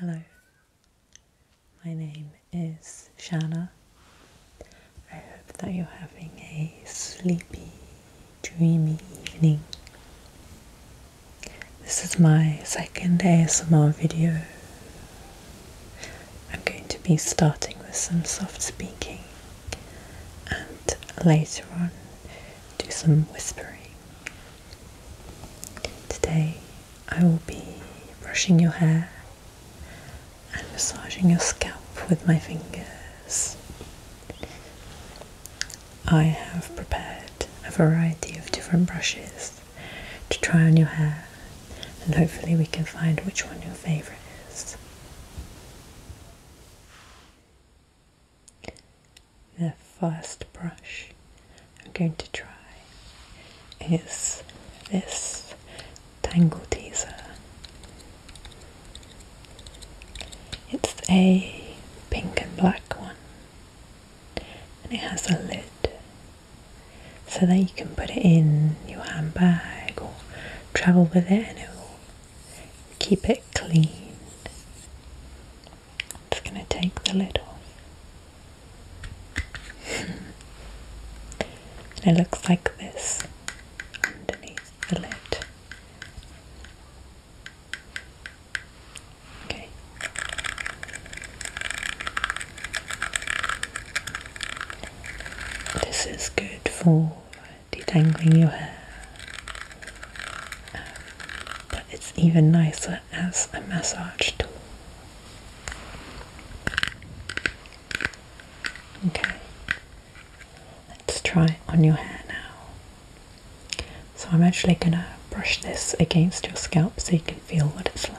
Hello, my name is Shanna. I hope that you're having a sleepy, dreamy evening. This is my second ASMR video. I'm going to be starting with some soft speaking and later on do some whispering Today I will be brushing your hair and massaging your scalp with my fingers. I have prepared a variety of different brushes to try on your hair and hopefully we can find which one your favourite is the first brush I'm going to try is this Tangle Teaser. It's a pink and black one and it has a lid so that you can put it in your handbag or travel with it and it will keep it clean just going to take the lid off. it looks like this underneath the lid. Okay. This is good for detangling your hair but it's even nicer as a massage tool. Okay, let's try on your hair now. So I'm actually gonna brush this against your scalp so you can feel what it's like.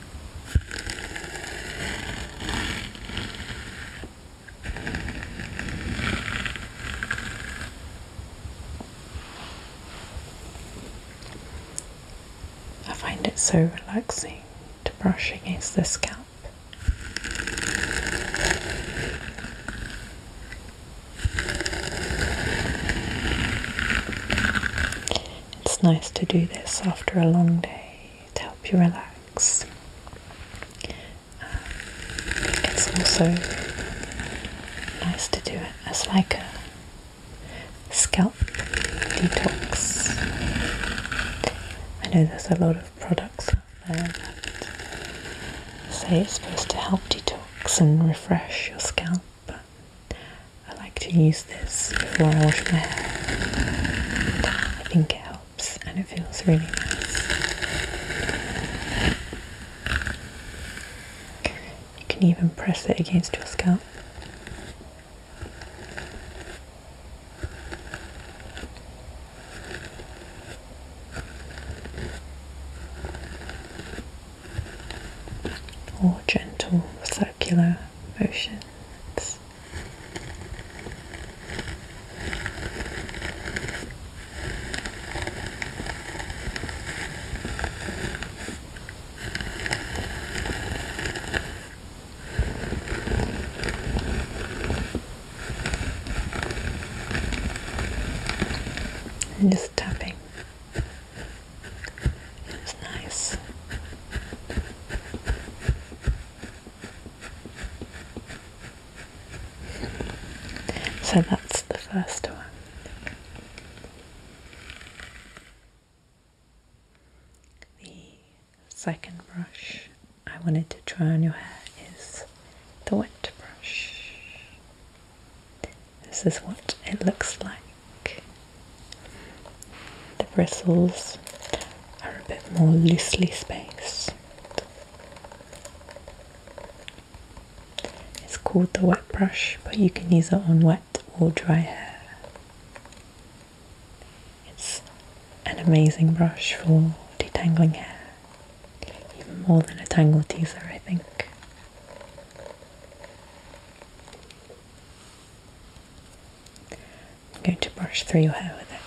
I find it so relaxing to brush against the scalp. It's nice to do this after a long day to help you relax. Um, it's also nice to do it It's like a scalp detox. I know there's a lot of products out there that say it's supposed to help detox and refresh your scalp, but I like to use this before I wash my hair. I think it helps and it feels really nice. You can even press it against your scalp. Or gentle circular motions. I'm just tapping it's nice. So that's the first one. The second brush I wanted to try on your hair is the wet brush. This is what it looks like the bristles are a bit more loosely spaced. It's called the wet brush, but you can use it on wet or dry hair. It's an amazing brush for detangling hair, even more than a tangle teaser, I think. I'm going to brush through your hair with it.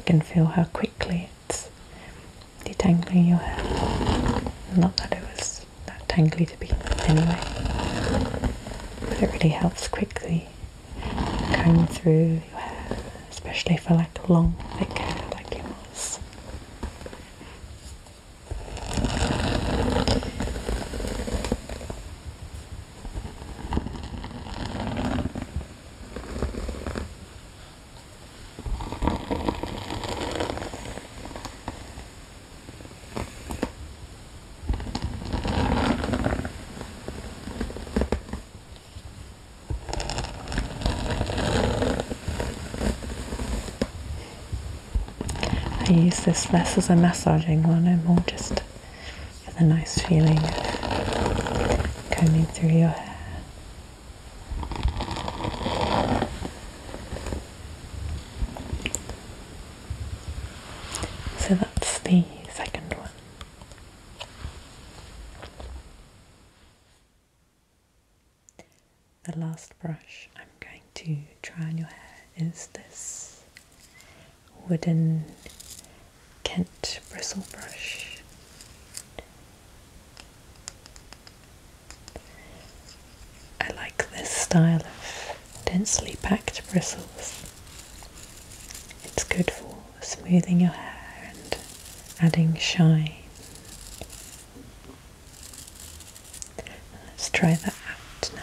I can feel how quickly Detangling your hair you Not that it was that tangly to begin with anyway, but it really helps quickly comb through your hair, especially for like long, thick hair like yours. I use this less as a massaging one and more just for the nice feeling coming through your hair. So that's the second one. The last brush I'm going to try on your hair is this wooden Kent bristle brush. I like this style of densely packed bristles. It's good for smoothing your hair and adding shine. Let's try that out now.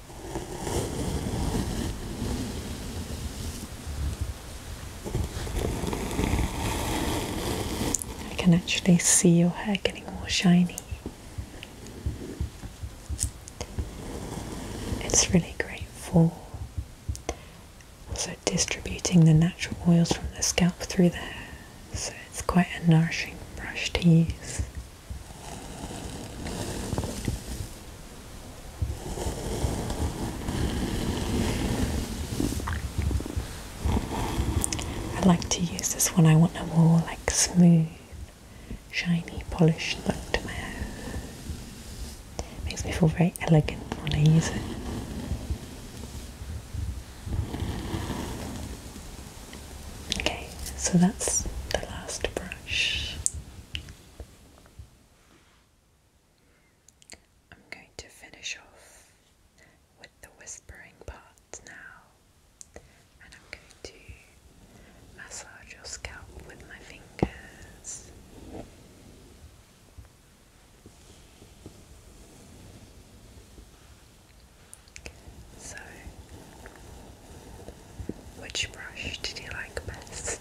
I can actually see your hair getting more shiny. It's really great for also distributing the natural oils from the scalp through the hair, so it's quite a nourishing brush to I like to use this one. I want a more like smooth, shiny, polished look to my hair. Makes me feel very elegant when I use it. Okay, so that's the last brush. I'm going to finish off with the whispering part now, and I'm going to massage your scalp with my fingers. So, which brush did you like best?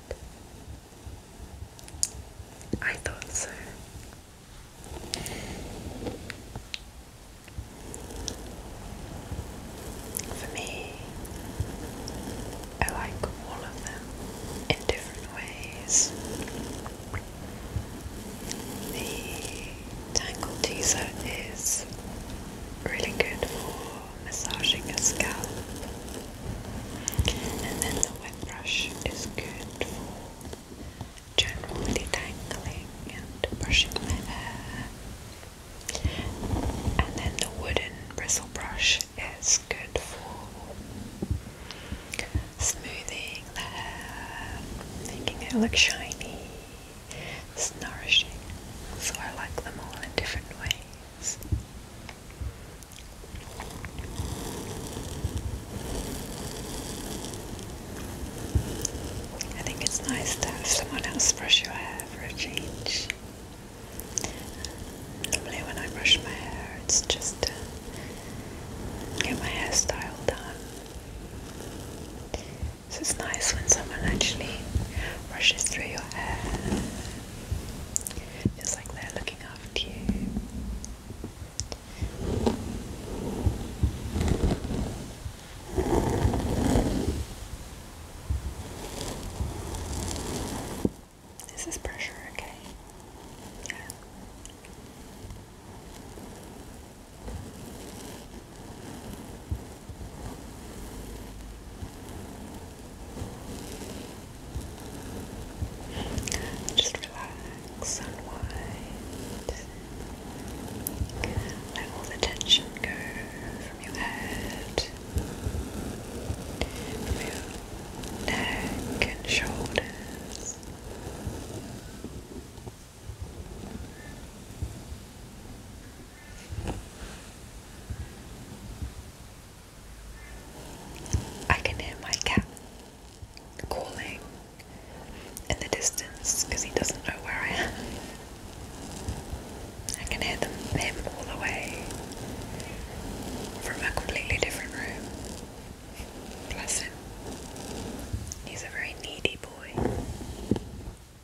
I thought so. For me, I like all of them in different ways. The Tangle Teaser is really good for massaging your scalp. And then the wet brush is good for general detangling and brushing my hair. And then the wooden bristle brush is good for smoothing the hair, making it look shiny it's nourishing, so I like them all in different ways. I think it's nice to have someone else brush your hair for a change. Normally, when I brush my hair, it's just get my hairstyle done. So it's nice when someone actually rushes through your hair. Feels like they're looking after you. Is this pressure okay? Yeah. Just relax, unwind. Let all the tension go from your head, from your neck and shoulders. I can hear my cat calling in the distance because he doesn't know where I am. I can hear them him all the way from a completely different room. Bless him. He's a very needy boy.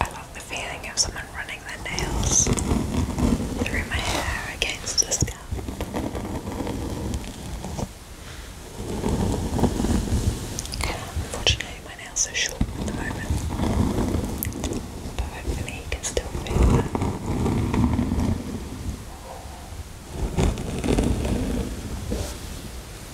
I love the feeling of someone running their nails through my hair against the scalp. Unfortunately, my nails are short at the moment, but hopefully, you can still feel that.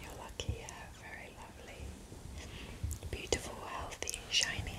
You're lucky you very lovely, beautiful, healthy, shiny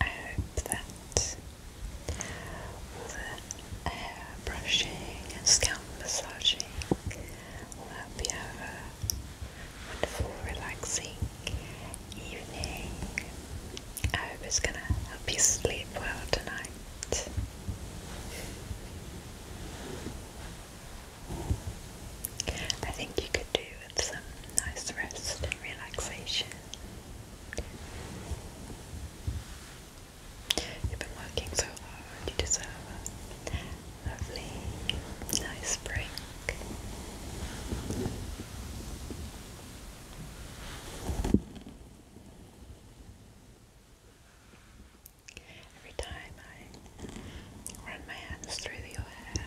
I hope that the hair brushing scalp massaging will help a wonderful, relaxing evening. I hope it's going to help you sleep well tonight. I think you could do with some nice rest and relaxation. You've been working so hard, you deserve a lovely, nice break. Every time I run my hands through your hair,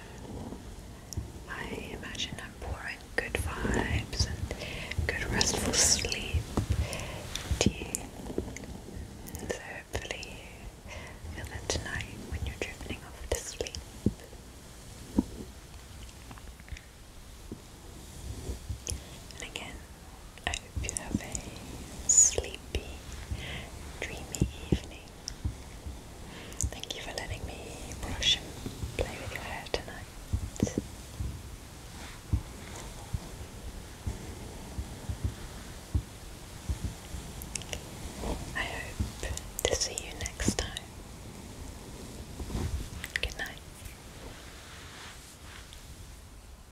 I imagine I'm pouring good vibes and good restful sleep to you. And so hopefully you feel that tonight when you're drifting off to sleep. And again, I hope you have a sleepy, dreamy evening. Thank you for letting me brush and play with your hair tonight. I hope to see you next time. Good night.